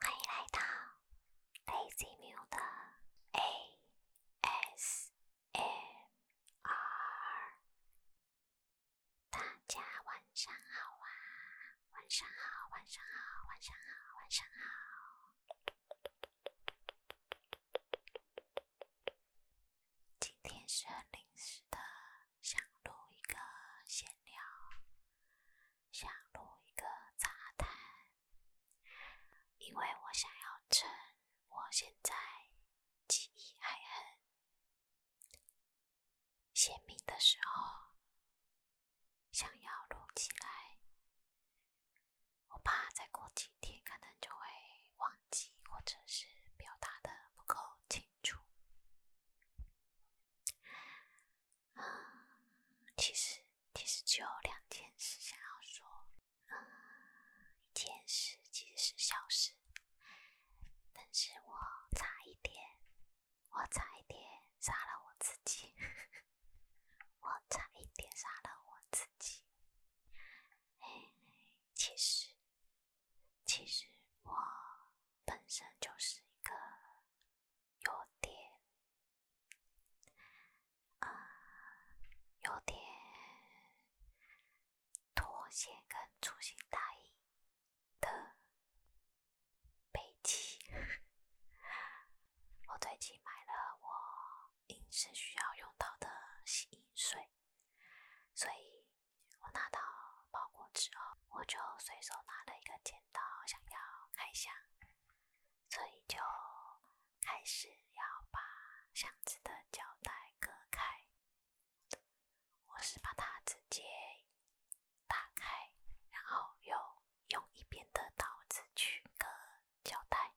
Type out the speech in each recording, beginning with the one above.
欢迎来到 Lazy m u 的 A S M R。大家晚上好啊！晚上好，晚上好，晚上好，晚上好。今天是很临时的，想录一个闲聊。想录一个杂谈，因为我想要趁我现在记忆还很鲜明的时候，想要录起来。我怕再过几天，可能就会忘记，或者是表达的不够清楚。啊，其实其实只有两件事想要说，嗯，一件事其实是小事，但是我差一点，我差一点杀了我自己，我差一点杀了我自己。嘿其实其实我本身就是一个。有点啊，有点妥协跟粗心大意的悲剧。我最近买了我平时需要用到的洗衣水，所以我拿到包裹之后，我就随手拿了一个剪刀。到想要开箱，所以就开始要把箱子的胶带割开。我是把它直接打开，然后又用一边的刀子去割胶带，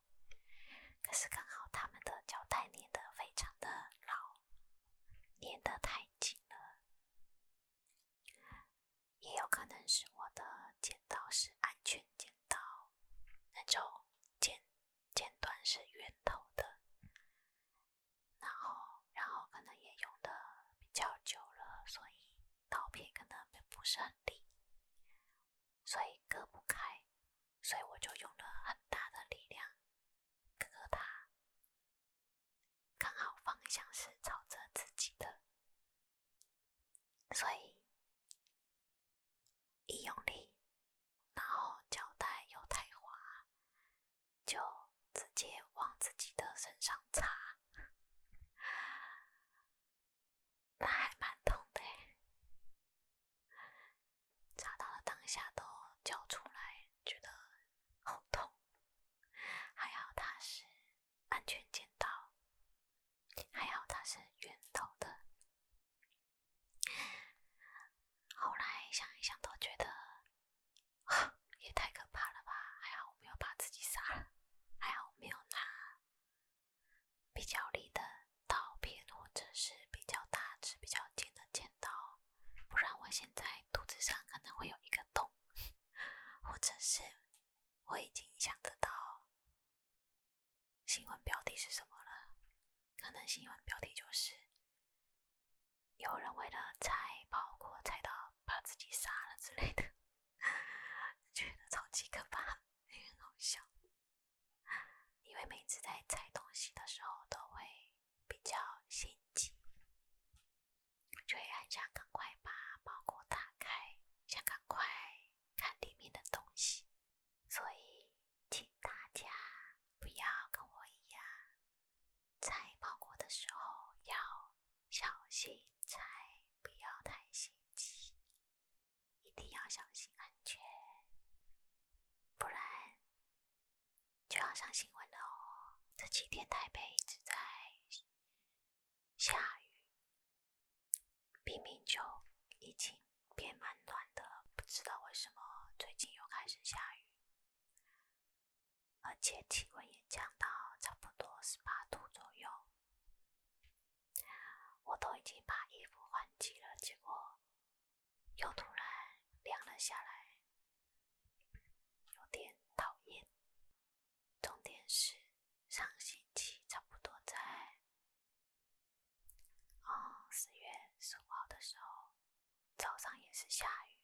可是刚好他们的胶带粘的非常的牢，粘的太紧了。也有可能是我的剪刀是安全剪刀，那种剪剪短是圆头的，然后然后可能也用的比较久了，所以刀片可能并不是很利，所以割不开，所以我就用了很大的力量割它。刚好方向是朝着自己的，所以一用力，然后胶带又太滑，就直接往自己的身上擦，那还蛮痛的。擦到了当下都叫出来，觉得好痛。还好他是。安全剪刀，还好它是圆头的。后来想一想都觉得 也太可怕了吧？还好我没有把自己杀了，还好我没有拿比较利的刀片或者是比较大、只、比较尖的剪刀，不然我现在肚子上可能会有一个洞，或者是。我已经想得到新闻标题是什么了，可能新闻标题就是有人为了拆包裹、拆到把自己杀了之类的，觉得超级可怕，也很好笑，因为每次在拆东西的时候都会比较心急。就会很想赶快把包裹打开，想赶快看里面的东西，所以请大家不要跟我一样拆包裹的时候要小心拆，不要太心急，一定要小心安全，不然就要上新闻了哦。这几天台北一直在。下雨，明明就已经变蛮暖的，不知道为什么最近又开始下雨，而且气温也降到差不多十八度左右，我都已经把衣服换季了，结果又突然凉了下来，有点讨厌。重点是上星期差不多在哦四月十五号的时候，早上也是下雨，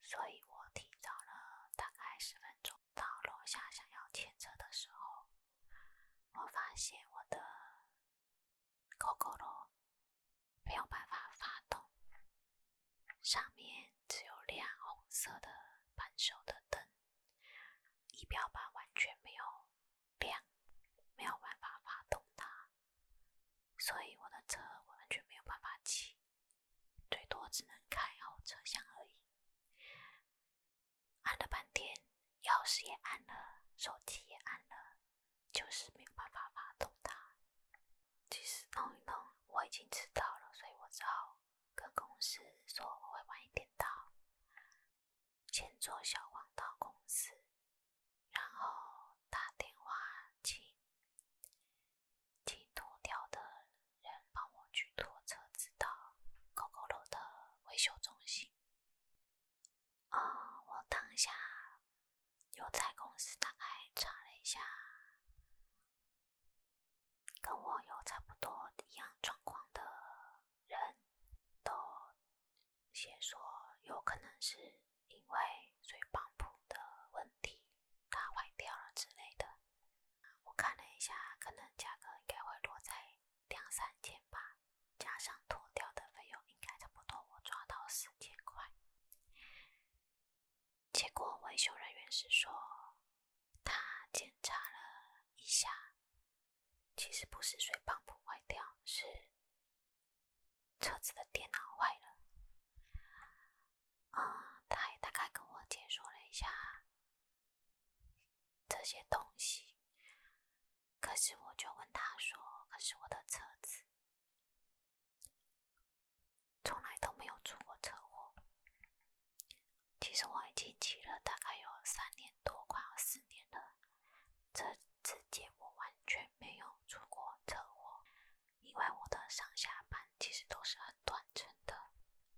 所以我提早了大概十分钟到楼下想要牵车的时候，我发现我的狗狗罗没有办法发动。上面只有亮红色的扳手的灯，仪表盘完全没有亮，没有办法发动它，所以我的车完全没有办法骑，最多只能开后车厢而已。按了半天，钥匙也按了，手机也按了，就是没有办法发动它。其实弄一弄我已经知道了，所以我只好。跟公司说我会晚一点到，先坐小黄到公司，然后打电话请请拖掉的人帮我去拖车子到 GOGO 的维修中心。啊，我当下有在公司大概查了一下。跟我有差不多一样状况的人都先说，有可能是因为水泵的问题，它坏掉了之类的。我看了一下，可能价格应该会落在两三千吧，加上脱掉的费用，应该差不多，我抓到四千块。结果维修人员是说，他检查了一下，其实不是水泵不坏掉，是车子的电脑坏了。啊，他也大概跟我解说了一下这些东西，可是我就问他说：“可是我的车子？”从来都没有出过车祸。其实我已经骑了大概有三年多，快要四年了。这之间我完全没有出过车祸，因为我的上下班其实都是很短程的，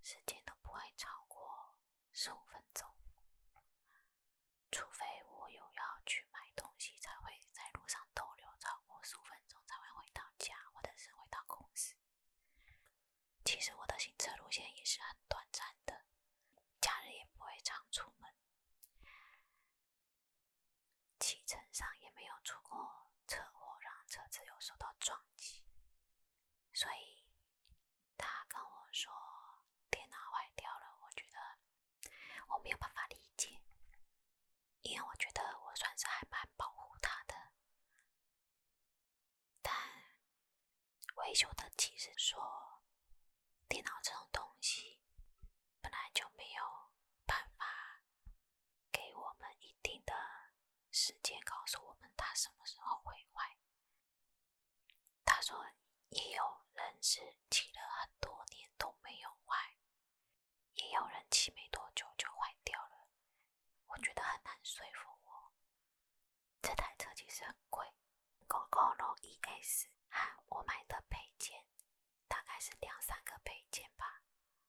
时间都不会超过十五分钟。除非我有要去买东西，才会在路上逗留超过十五分钟，才会回到家，或者是回到公司。其实我的行车路线也是很短暂的，假日也不会常出门，汽车上也没有出过车祸，让车子有受到撞击，所以他跟我说电脑坏掉了，我觉得我没有办法理解，因为我觉得我算是还蛮保护他的。但维修的技师说，电脑这种东西本来就没有办法给我们一定的时间告诉我们它什么时候会坏。他说，也有人是骑了很多年都没有坏，也有人骑没多久就坏掉了。我觉得很难说服我。这台车其实很贵，Gololo ES 我买的配件大概是两三个配件吧，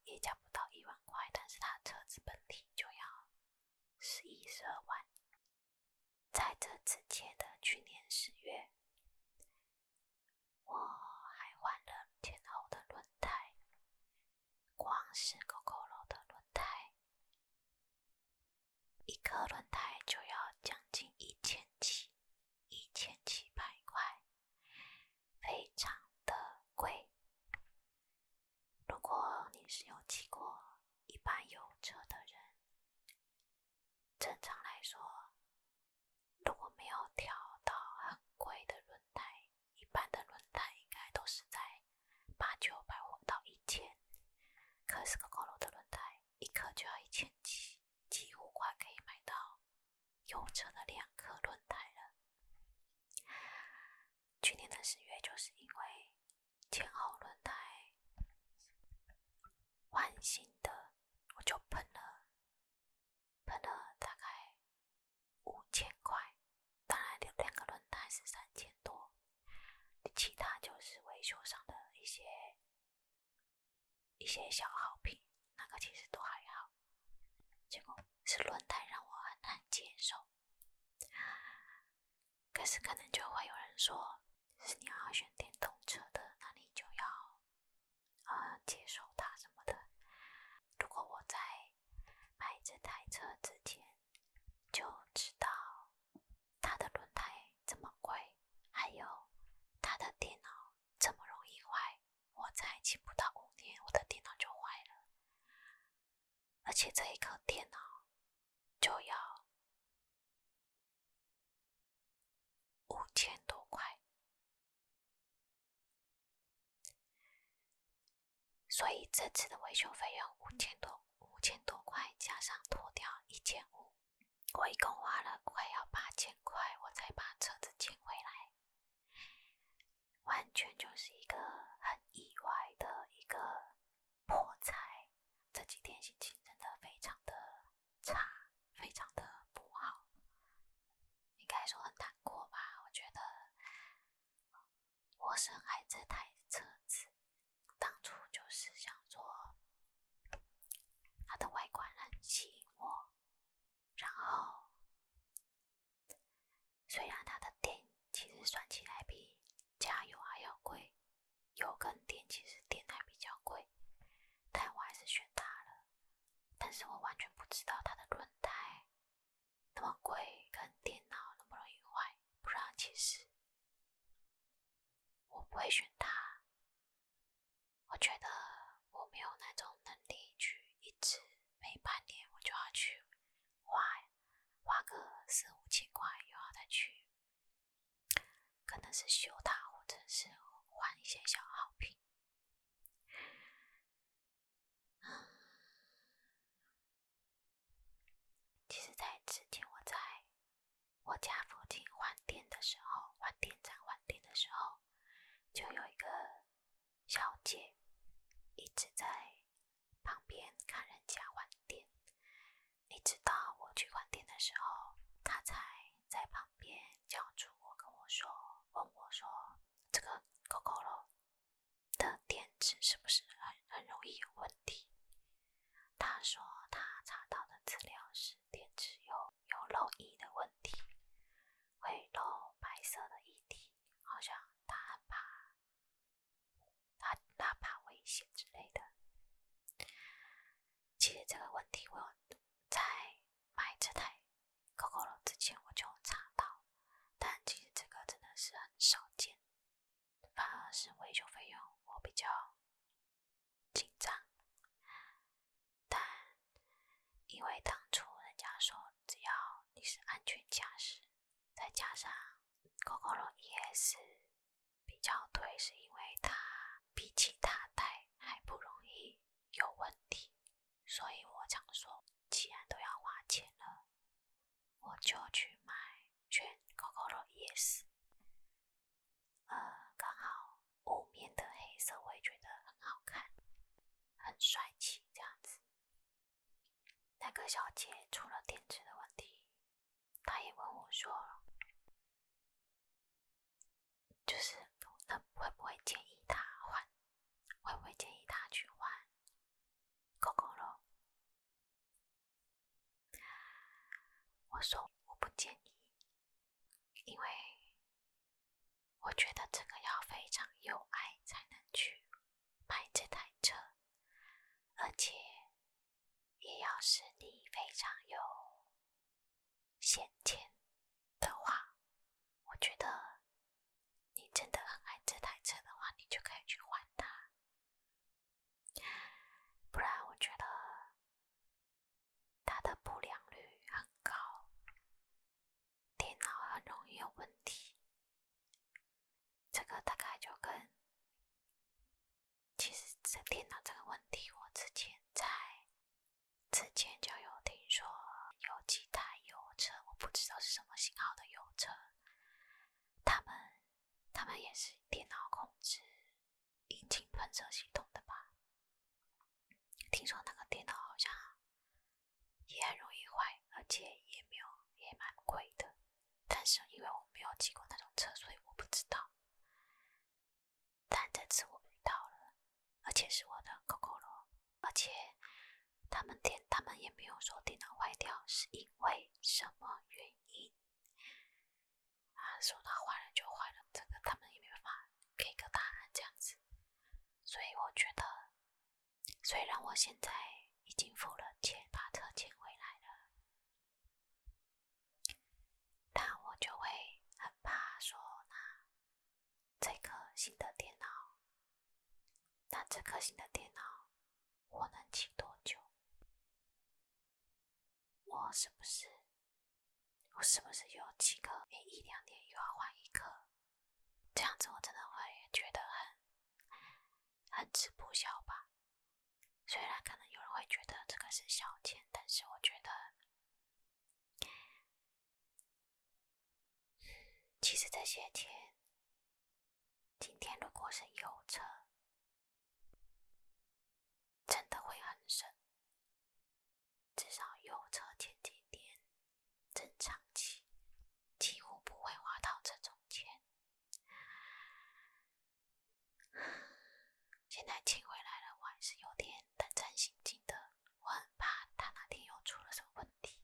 也加不到一万块，但是它车子本体就要十一十二万。在这之前的去年十月，我还换了前后轮胎。光是 COCOLO 的轮胎，一个轮胎就要将近一千七、一千七百块，非常的贵。如果你是有骑过一般油车的人，正常来说，如果没有调到很贵的轮胎，一般的轮胎应该都是在八九百或到一千，可是个高楼的轮胎一颗就要一千几，几乎快可以买到油车的两颗轮胎了。去年的十月就是因为前后轮胎换新的，我就喷了喷了大概。五千块，当然两两个轮胎是三千多，其他就是维修上的一些一些小耗品，那个其实都还好。结果是轮胎让我很难接受。可是可能就会有人说，是你要选电动车的，那你就要呃接受它什么的。如果我在买这台车之前。就知道他的轮胎这么贵，还有他的电脑这么容易坏。我才用不到五年，我的电脑就坏了，而且这一颗电脑就要五千多块。所以这次的维修费用五千多，五千多块加上脱掉一千五，我一共花了快要八千块，我才把车子捡回来。完全就是一个很意外的一个破财。这几天心情真的非常的差，非常的不好，应该说很难过吧？我觉得。我深爱这台车子，当初就是想说它的外观很吸引我，然后虽然它的电其实算起来比加油还要贵，油跟电其实电还比较贵，但我还是选它了。但是我完全不知道它的轮胎。那么贵，跟电脑那么容易坏，不然其实我不会选它。我觉得我没有那种能力去一直每半年我就要去花花个四五千块，又要再去可能是修它，或者是换一些小耗品。其实，在之前我在我家附近换电的时候，换电站换电的时候，就有一个小姐一直在旁边看人家换电。一直到我去换电的时候，她才在旁边叫住我，跟我说，问我说：“这个狗狗咯，的电池是不是很很容易有问题？他说他查到的资料是电池有有漏液的问题，会漏白色的液体，好像他怕他他怕危险之类的。其实这个问题我在买这台 g o o g 之前我就查到，但其实这个真的是很少见。反而是维修费用我比较紧张，但因为当初人家说只要你是安全驾驶，再加上高容易 ES 比较对，是因为它比起它代还不容易有问题，所以我常说，既然都要花钱了。我就去买全 COCOLO YES，呃，刚好雾面的黑色，我也觉得很好看，很帅气这样子。那个小姐出了电池的问题，她也问我说，就是那会不会建议他换？会不会建议他去换 COCOLO？我说我不建议，因为我觉得这个要非常有爱才能去买这台车，而且也要是你非常有闲钱的话，我觉得你真的很爱这台车的话，你就可以去换它。不然，我觉得它的不良率很高，电脑很容易有问题。这个大概就跟其实这电脑这个问题，我之前在之前就有听说有几台油车，我不知道是什么型号的油车。他们，他们也是电脑控制引擎喷射系统的吧？听说那个电脑好像也很容易坏，而且也没有也蛮贵的。但是因为我没有骑过那种车，所以我不知道。但这次我遇到了，而且是我的 Coco 罗，而且。他们电，他们也没有说电脑坏掉是因为什么原因。啊，说它坏了就坏了，这个他们也没办法给个答案这样子。所以我觉得，虽然我现在已经付了钱把车钱。回来了，但我就会很怕说那这颗新的电脑，那这颗新的电脑。我能请多久？我是不是我是不是有几个个一两年又要换一个？这样子我真的会觉得很很吃不消吧？虽然可能有人会觉得这个是小钱，但是我觉得，其实这些钱。今天如果是有车，真的会很省。至少有车前几天正常骑，几乎不会花到这种钱。现在亲回来了，我还是有点胆战心惊的。我很怕他那天又出了什么问题。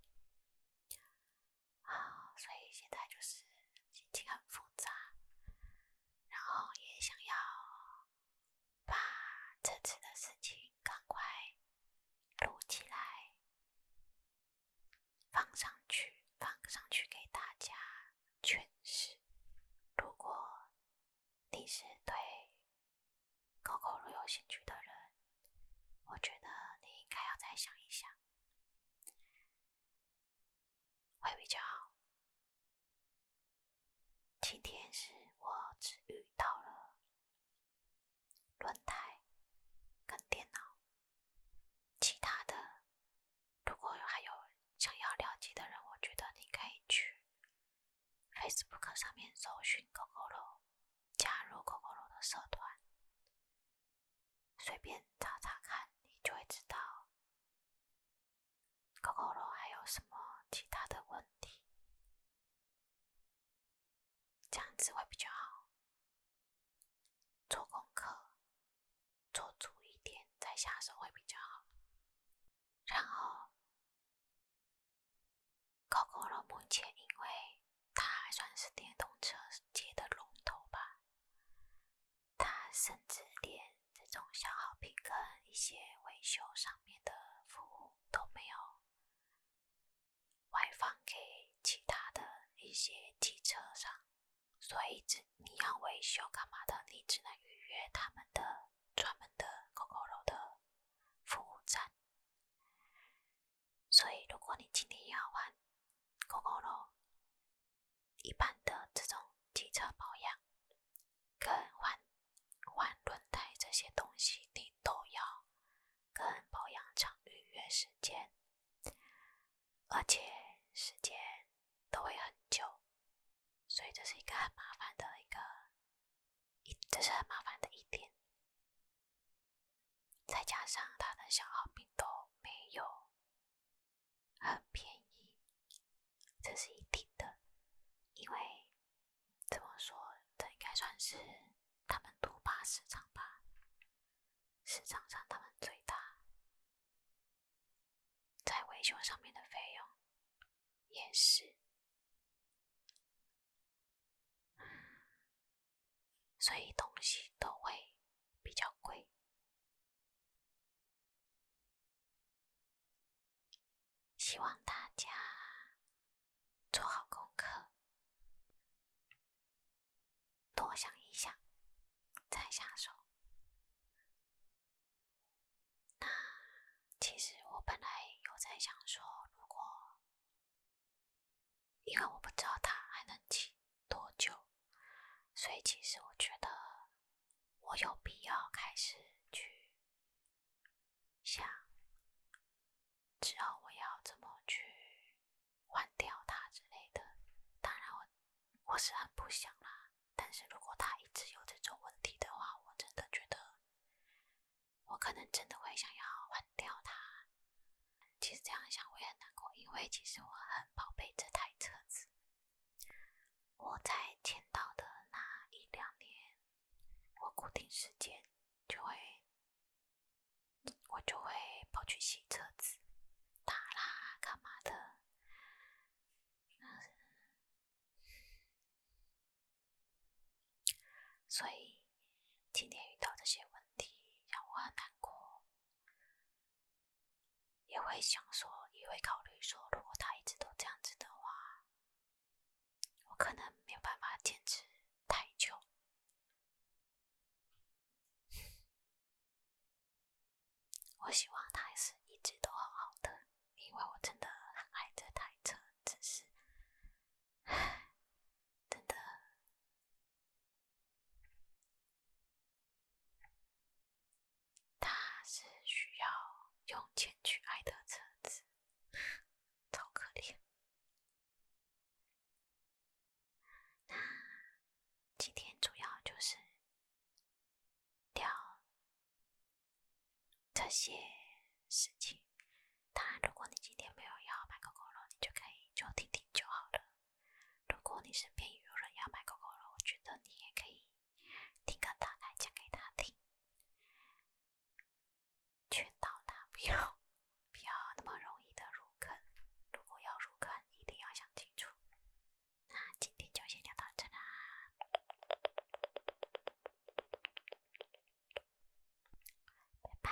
啊，所以现在就是心情很复杂，然后也想要把这次的事情赶快录起来，放上去，放上去给大家诠释。如果你是对口口路有兴趣的人，我觉得你应该要再想一想。会比较好。今天是我只遇到了轮胎跟电脑，其他的如果还有想要了解的人，我觉得你可以去 Facebook 上面搜寻狗狗楼，加入狗狗楼的社团。随便查查看，你就会知道狗狗肉还有什么其他的问题，这样子会比较好。做功课，做足一点再下手会比较好。然后，狗狗肉目前因为。它还算是电动车界的龙头吧，它甚至连这种消耗品跟一些维修上面的服务都没有外放给其他的一些汽车上，所以你要维修干嘛的，你只能预约他们的专门的 o 高柔的服务站。所以，如果你今天要换 o 共楼一般的这种汽车保养，跟换换轮胎这些东西，你都要跟保养厂预约时间，而且时间都会很久。所以，这是一个很麻烦的一个，这是很麻烦的一点。再加上他的小号病都没有，很便宜，这是一定的。因为怎么说，这应该算是他们独霸市场吧？市场上他们最大，在维修上面的费用也是。所以东西都会比较贵，希望大家做好功课，多想一想再下手。那其实我本来有在想说，如果……因为我不知道他还能骑多久，所以其实我觉得我有必要开始去想之后我要怎么去换掉它之类的。当然，我我是很不想啦，但是如果他一直有这种问题的话，我真的觉得我可能真的会想要换掉它。其实这样想我也很难过，因为其实我很宝贝这台车子。我在签到的那一两年，我固定时间就会，我就会跑去洗车子、打蜡、干嘛的。所以今天遇到这些问题，让我很难过。也会想说，也会考虑说，如果他一直都这样子的话，我可能没有办法坚持太久。我希望他是一直都好好的，因为我真的很爱这台车，只是 真的。他是需要用钱去爱的车子，超可怜。那今天主要就是聊这些事情。当然，如果你今天没有要买狗狗肉，你就可以就听听就好了。如果你身边有人要买狗狗了，我觉得你也可以听个大概讲给他听，劝导他不要不要那么容易的入坑。如果要入坑，一定要想清楚。那今天就先聊到这啦，拜拜。